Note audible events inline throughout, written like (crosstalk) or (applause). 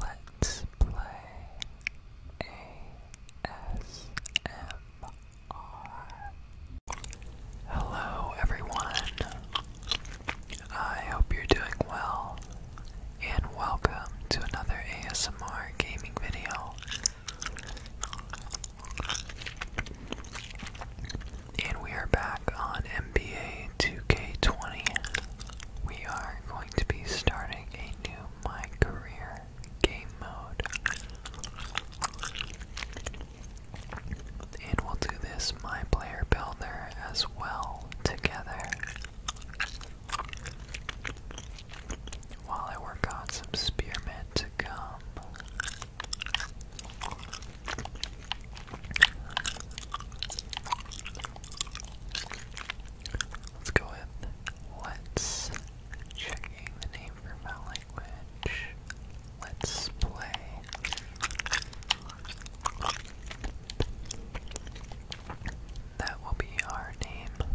Let's play ASMR. Hello, everyone. I hope you're doing well, and welcome to another ASMR gaming video. And we are back on NBA 2K20. We are to be starting a new My Career game mode. And we'll do this My Player Builder as well together while I work on some spearmint to come. Let's go with let's checking the name for foul language. Let's play. That will be our name.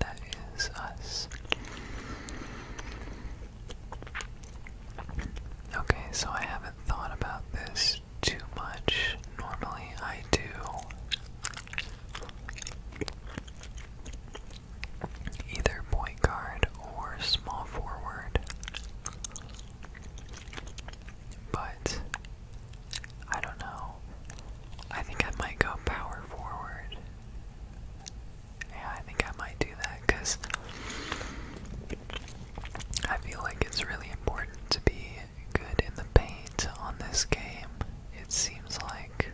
That is us. Okay, so I haven't thought about this too much. Normally I do either point guard or small forward. But I don't know. I think I might go power forward. Yeah, I think I might do that because I feel like it's really important to be good in the paint on this game, it seems like.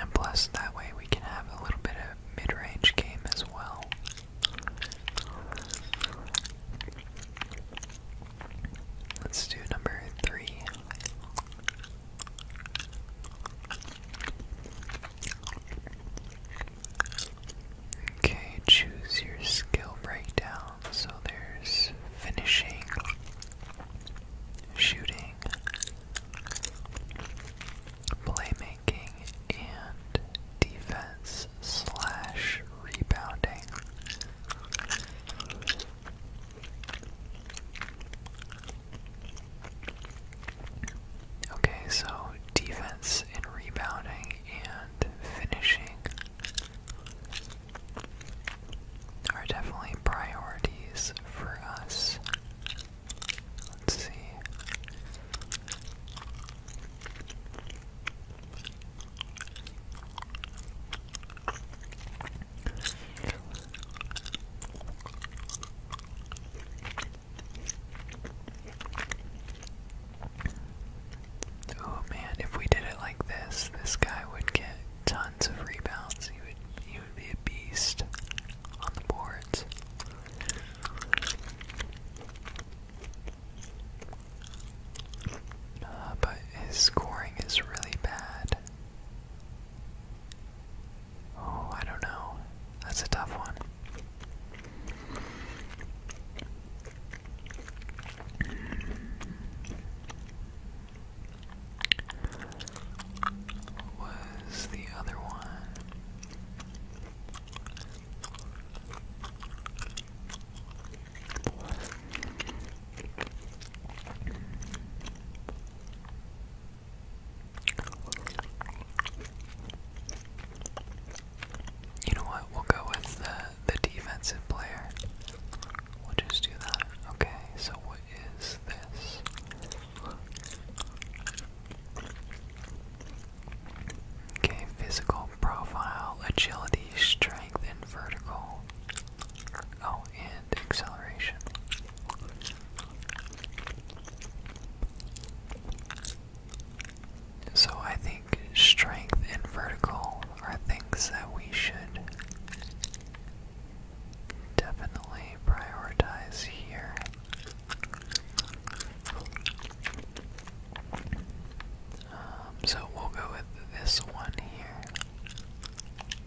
And plus, that way we can have a little bit of mid range game as well. Let's do number three. Okay, choose your skill breakdown. So there's finishing, shooting, playmaking, and defense slash rebounding. Okay, so defense and rebounding and finishing are definitely priorities for us. Let's see. Oh man, if we did it like this, this guy would get tons of rebounds. He would he would be a beast on the boards. Uh, but his scoring is really bad. Oh, I don't know. That's a tough one. was the other one? You know what? We'll go with the, the defensive player. We'll just do that. Okay, so what is this? Okay, physical profile, agility, strength, and vertical. Oh, and acceleration. So I think strength and vertical are things that we should definitely prioritize here. Um, so we'll go with this one here.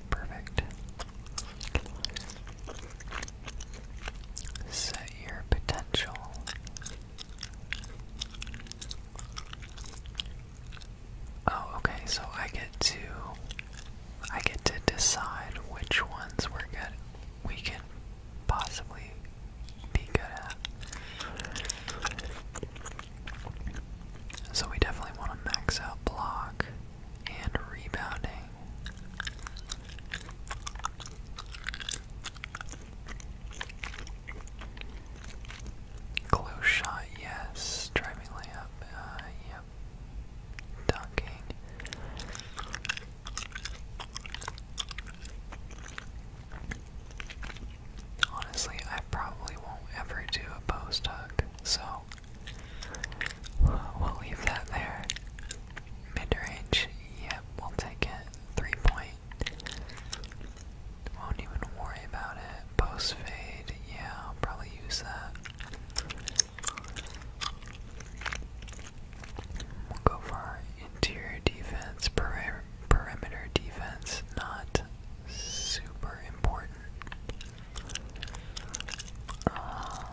Perfect. Set your potential. Oh, okay, so I get to I get to decide which ones we're good we can possibly be good at. So we definitely want to max out block and rebounding. Close shot, yes. Driving layup, uh, yep. Dunking. Honestly, I probably won't ever do a post hug, so we'll leave that there. Mid range, yep, we'll take it three point. Won't even worry about it. Post fade, yeah, I'll probably use that. We'll go for interior defense, peri perimeter defense, not super important. Uh,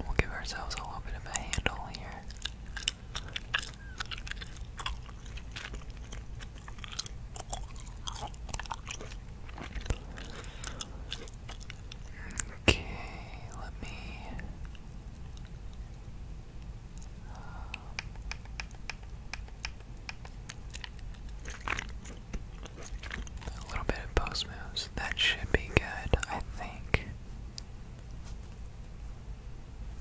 We'll give ourselves a little bit of a handle here. Okay, let me. Um, a little bit of post moves. That should be good, I think.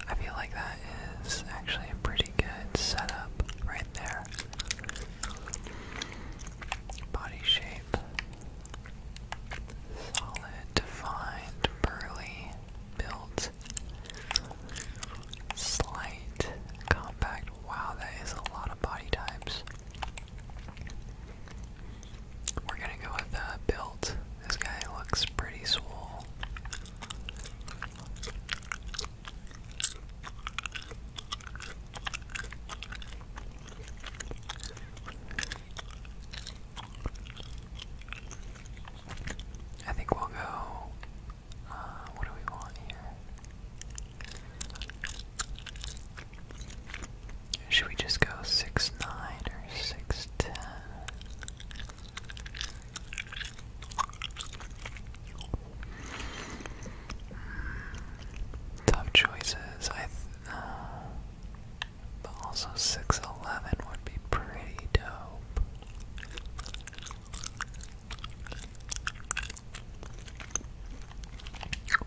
I feel like that is actually a pretty good setup right there. Body shape. Solid, defined, burly, built. Slight, compact. Wow, that is a lot of body types. We're gonna go with the uh, This guy looks pretty swole. I think we'll go. Uh, what do we want here? Should we just go six nine or six ten? Tough choices. I. know, uh, but also six eleven would be pretty dope.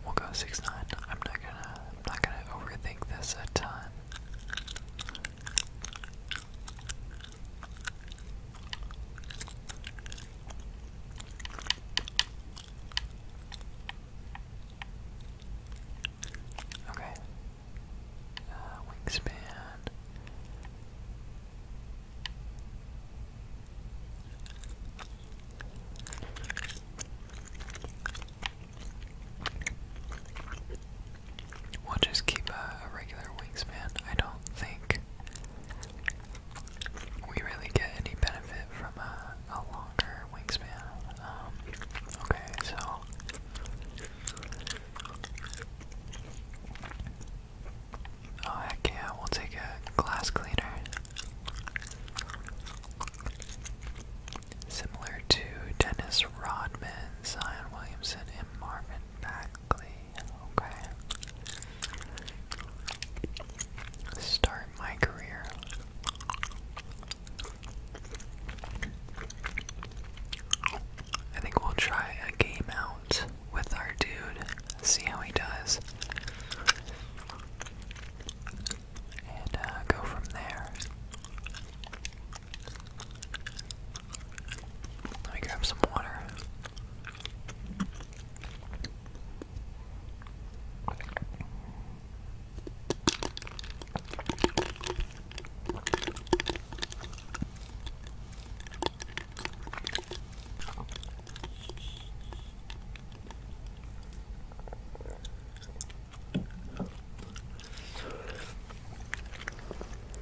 We'll go six nine. I'm not gonna I'm not gonna overthink this a ton. Okay. Uh, wingspan. We'll just keep a, regular wingspan. I don't think we really get any benefit from a, longer wingspan. Um, okay, so. Oh, heck yeah, we'll take a glass cleaner. Similar to Dennis Rodman, Zion Williamson, and Marvin Bagley. Okay. Start my career. I think we'll try a game out with our dude. See how he does and uh, go from there. Let me grab some water.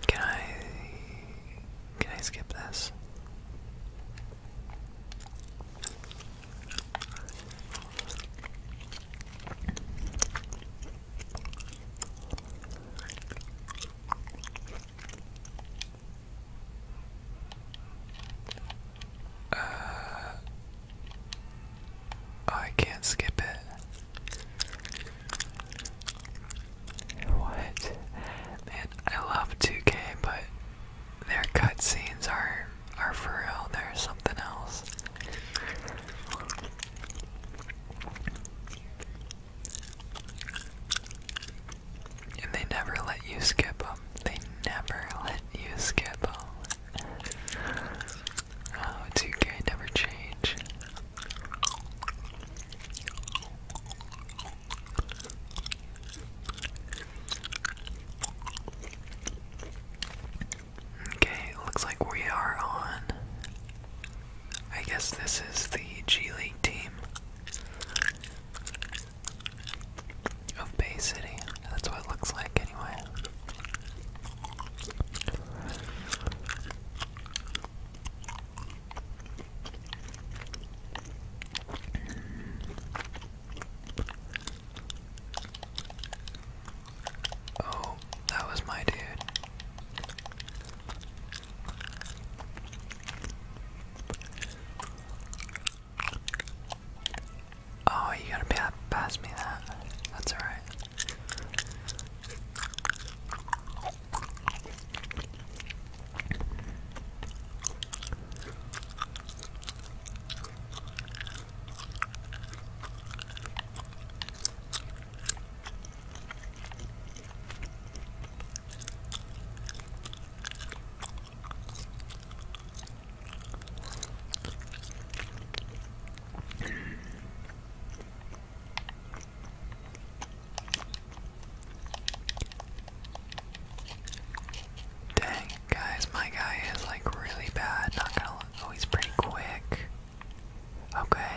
Can I can I skip this? Uh, I can't skip it. What? I love 2K, but their cutscenes are are for real. they something else. And they never let you skip them. They never let you skip them oh, it's UK, never change. Okay, looks like we are on. I guess this is the G League team of Bay City. That's what it looks like, anyway. Oh, that was my dude. Oh, you gotta pass me that. That's alright. Dang, guys, my guy is like really bad. Not gonna. Look. Oh, he's pretty quick. Okay.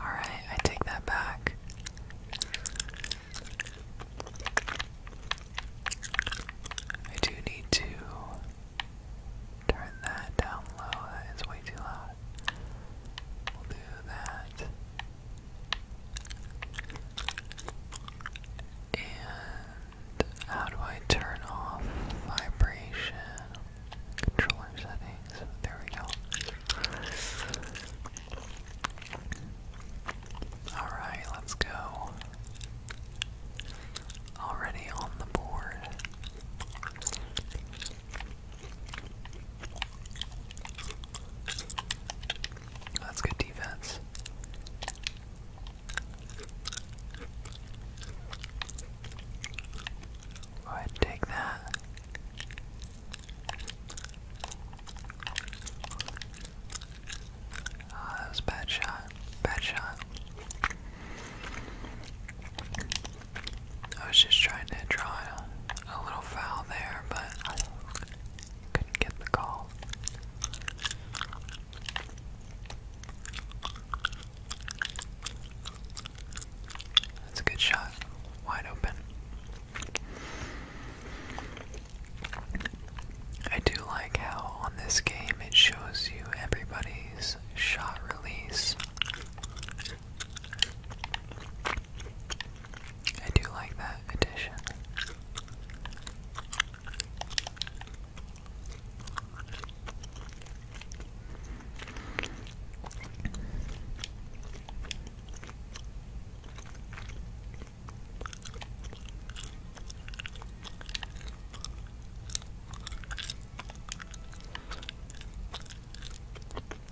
Alright, I take that back. I do need to Turn that down low, that is way too loud. We'll do that. And how do I turn off vibration? Controller settings. There we go. Alright, let's go already on the board. That's good defense. Go ahead take that. Ah, that was a bad shot. Bad shot. I was just trying to draw a little foul there, but I couldn't get the call. That's a good shot. Wide open. I do like how on this game it shows you everybody shot release. I do like that addition.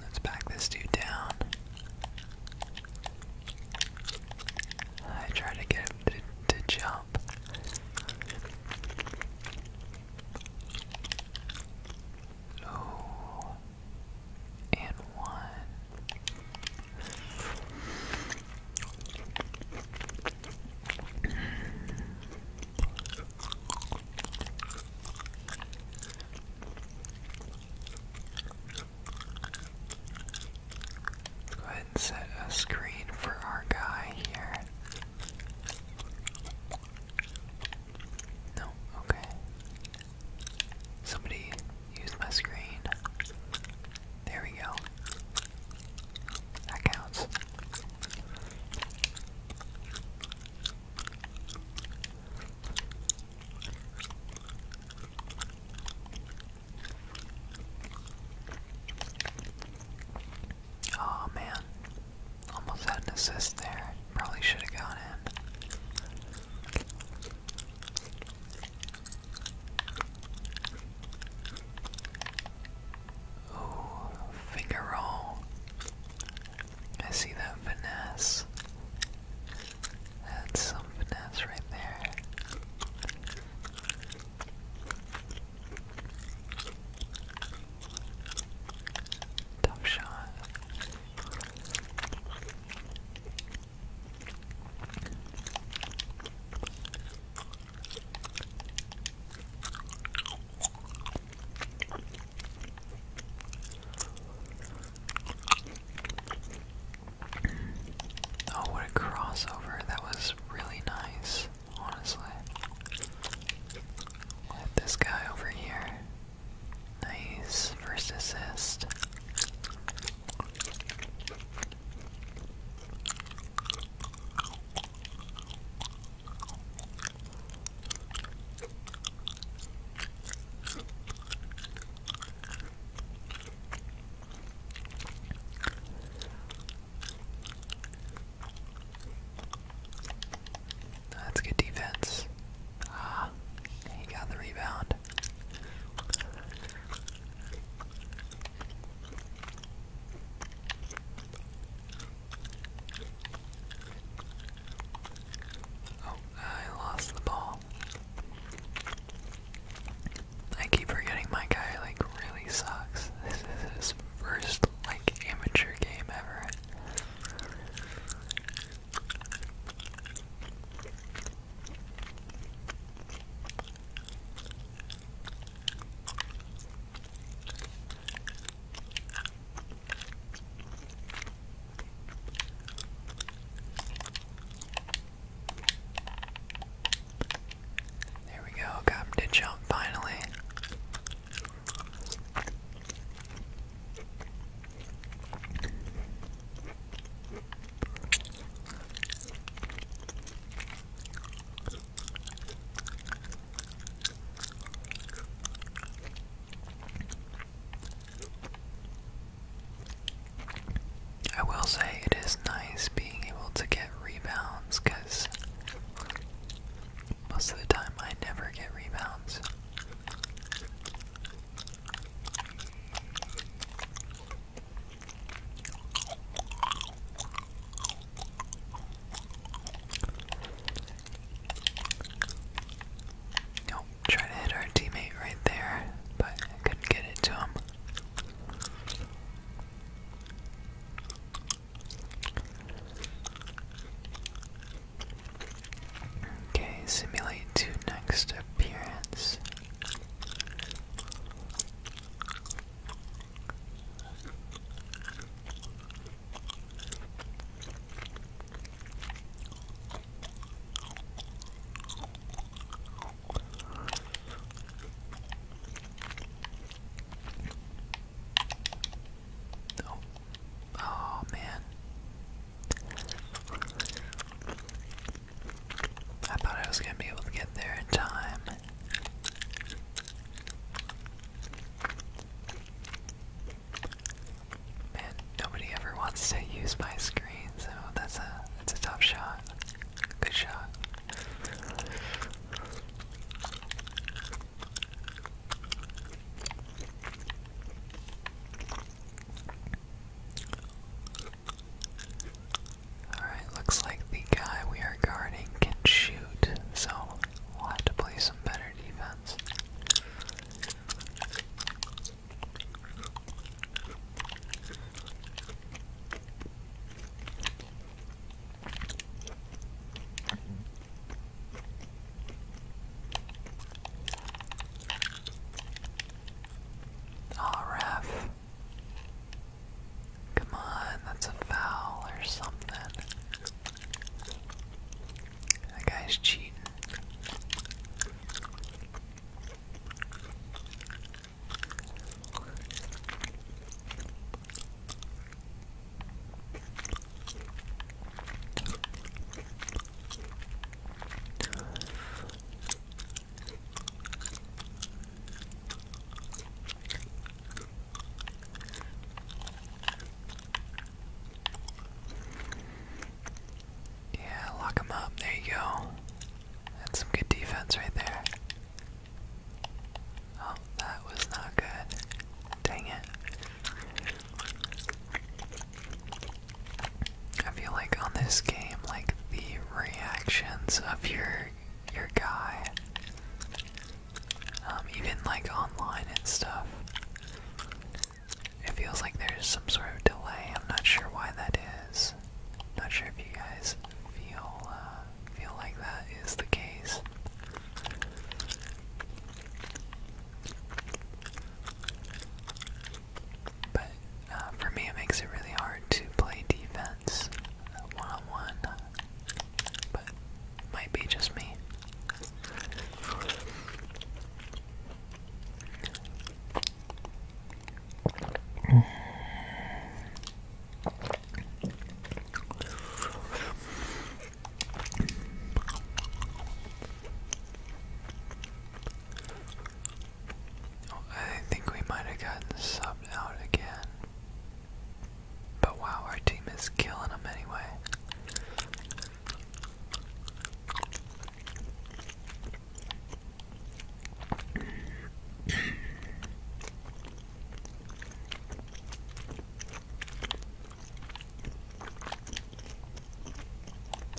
Let's back this dude down. I try to get him to, jump. Oh, and one. Go ahead and set a screen for our guy here. No, okay. Somebody used my screen. There we go. That counts. Oh man, almost had an assist there. Probably should have gone in. Ooh, finger roll. I see that finesse. That's some finesse right there. Tough shot. Oh, what a crossover. That was really nice, honestly. this guy over here. Nice first assist. That's good defense. Ah, he got the rebound. Oh, I lost the ball. I keep forgetting my guy like really sucks. (laughs) This is his first like amateur game ever. There we go, got him to finally. I will say it is nice being able to get rebounds because most of the time I never get rebounds. Oh, try to hit our teammate right there, but couldn't get it to him. Okay, simulate two next appearance. Oh, man. I thought I was going to be able to get there in time. Man, nobody ever wants to use my screen, so that's a that's a tough shot. Good shot. Alright, looks like the guy we are guarding can shoot, so We'll have to play some better defense. Ah, ref. Come on, that's a foul or something. That guy's cheating. Yeah, lock him up. There you go. That's some good defense right there. Oh, that was not good. Dang it. I feel like on this game, like the reactions of your your guy um, even like online and stuff. It feels like there's some sort of delay. I'm not sure why that not sure if you guys feel uh, feel like that is the case. But uh, for me, it makes it really hard to play defense one on one. But might be just me. I think we might have gotten subbed out again. But wow, our team is killing them anyway.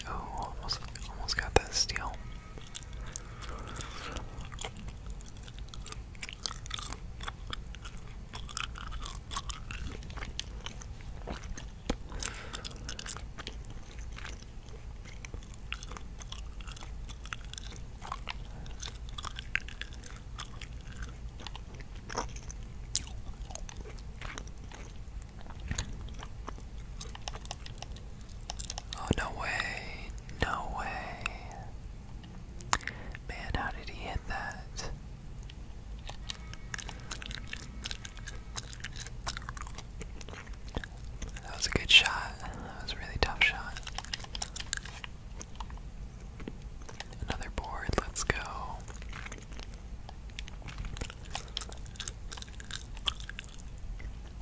oh, almost almost got that steal. Oh, no way, no way. Man, how did he hit that? That was a good shot. That was a really tough shot. Another board, let's go.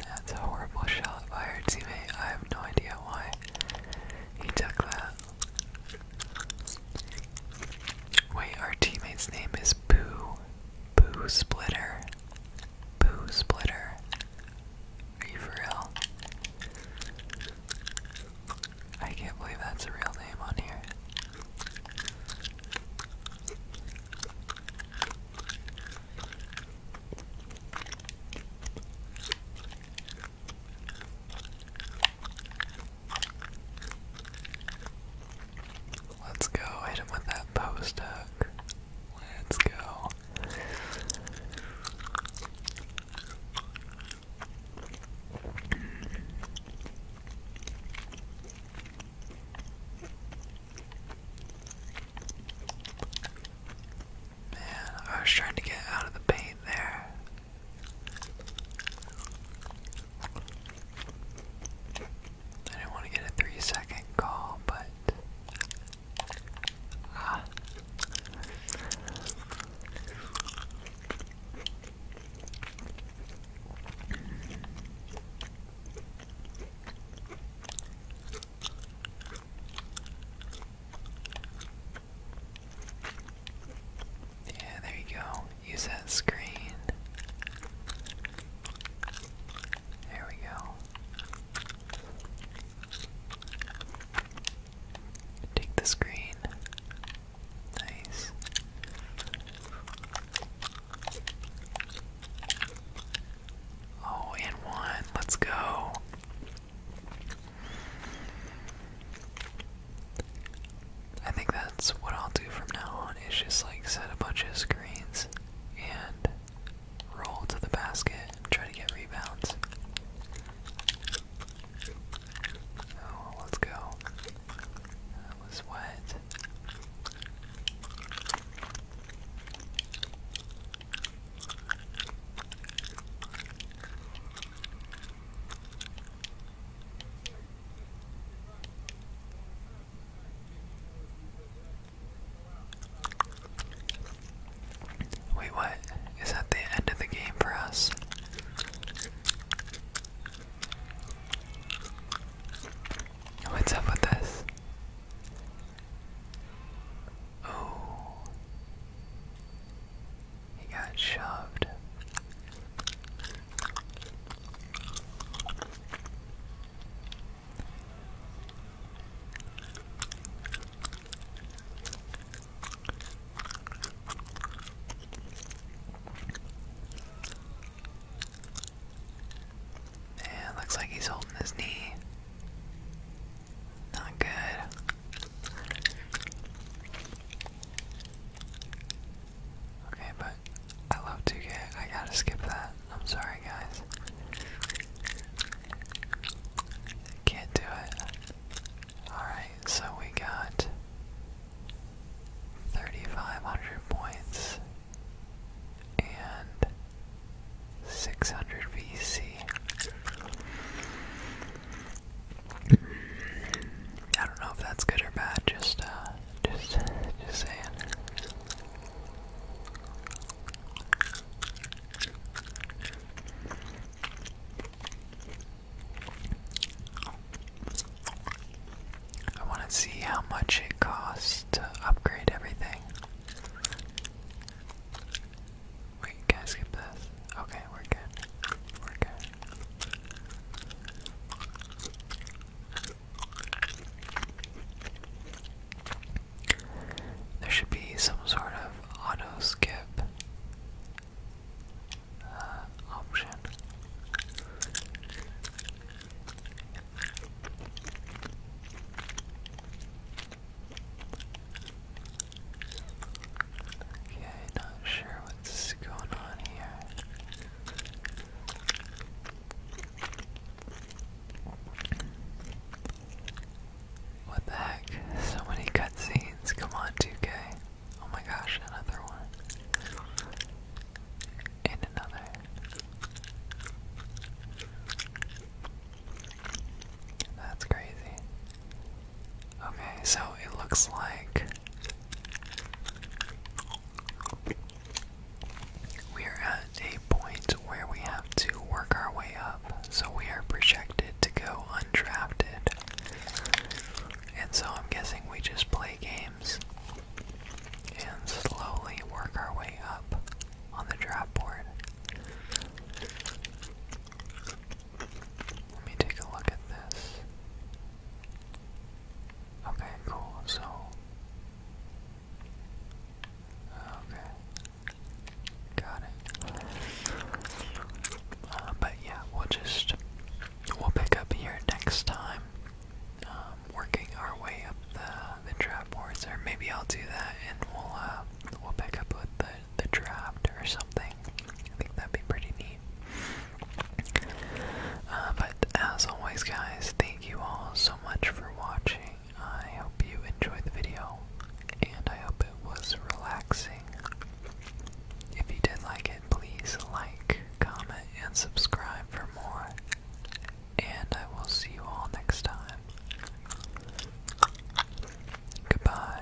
That's a horrible shot by our teammate. I have no idea why he took that. Wait, our teammate's name is Boo. Boo Splitter. Boo Splitter. Are you for real? I can't believe that's a real name on here. Let's go, hit him with that post hook. Let's go. Man, I was trying to get out of the pain there. I didn't want to get a three second call, but. Ah. Yeah, there you go use that screen. There we go. Take the screen. Nice. Oh, and one. Let's go. I think that's what I'll do from now on is just like set a bunch of screens and roll to the basket and try to get rebounds. Oh, let's go. That was wet. Wait, what? Is that the end of the game for us? What's up with this? Oh. He got shoved. Yeah, looks like he's holding his knee. Not good. Okay, but I love 2K. I gotta skip that. I'm sorry, guys. Can't do it. Alright, so we got 3,500 points and 600 VC. I don't know if that's good or bad. Just, uh, just, just saying. I want to see how much it costs to upgrade everything. Wait, can skip this? Okay, we're good. We're good. There should be some sort of auto skip uh, option. Okay, not sure What's going on here? What the heck? So many cutscenes. Come on, 2K. Oh my gosh, another one. And another. That's crazy. Okay, so it looks like we're at a point where we have to work our way up, so we are projected to go undrafted. And so I'm guessing we just play games and slowly work our way up on the draft board. Let me take a look at this. Okay, cool. So, okay, got it. Uh, but yeah, we'll just we'll pick up here next time, um, working our way up the the trap boards, or maybe I'll do that and we'll uh, we'll pick up with the the draft or something. I think that'd be pretty neat. Uh, but as always, guys, thank you all so much for watching. I hope you enjoyed the video, and I hope it was relaxing. If you did like it, please like, comment, and subscribe for more. And I will see you all next time. Goodbye.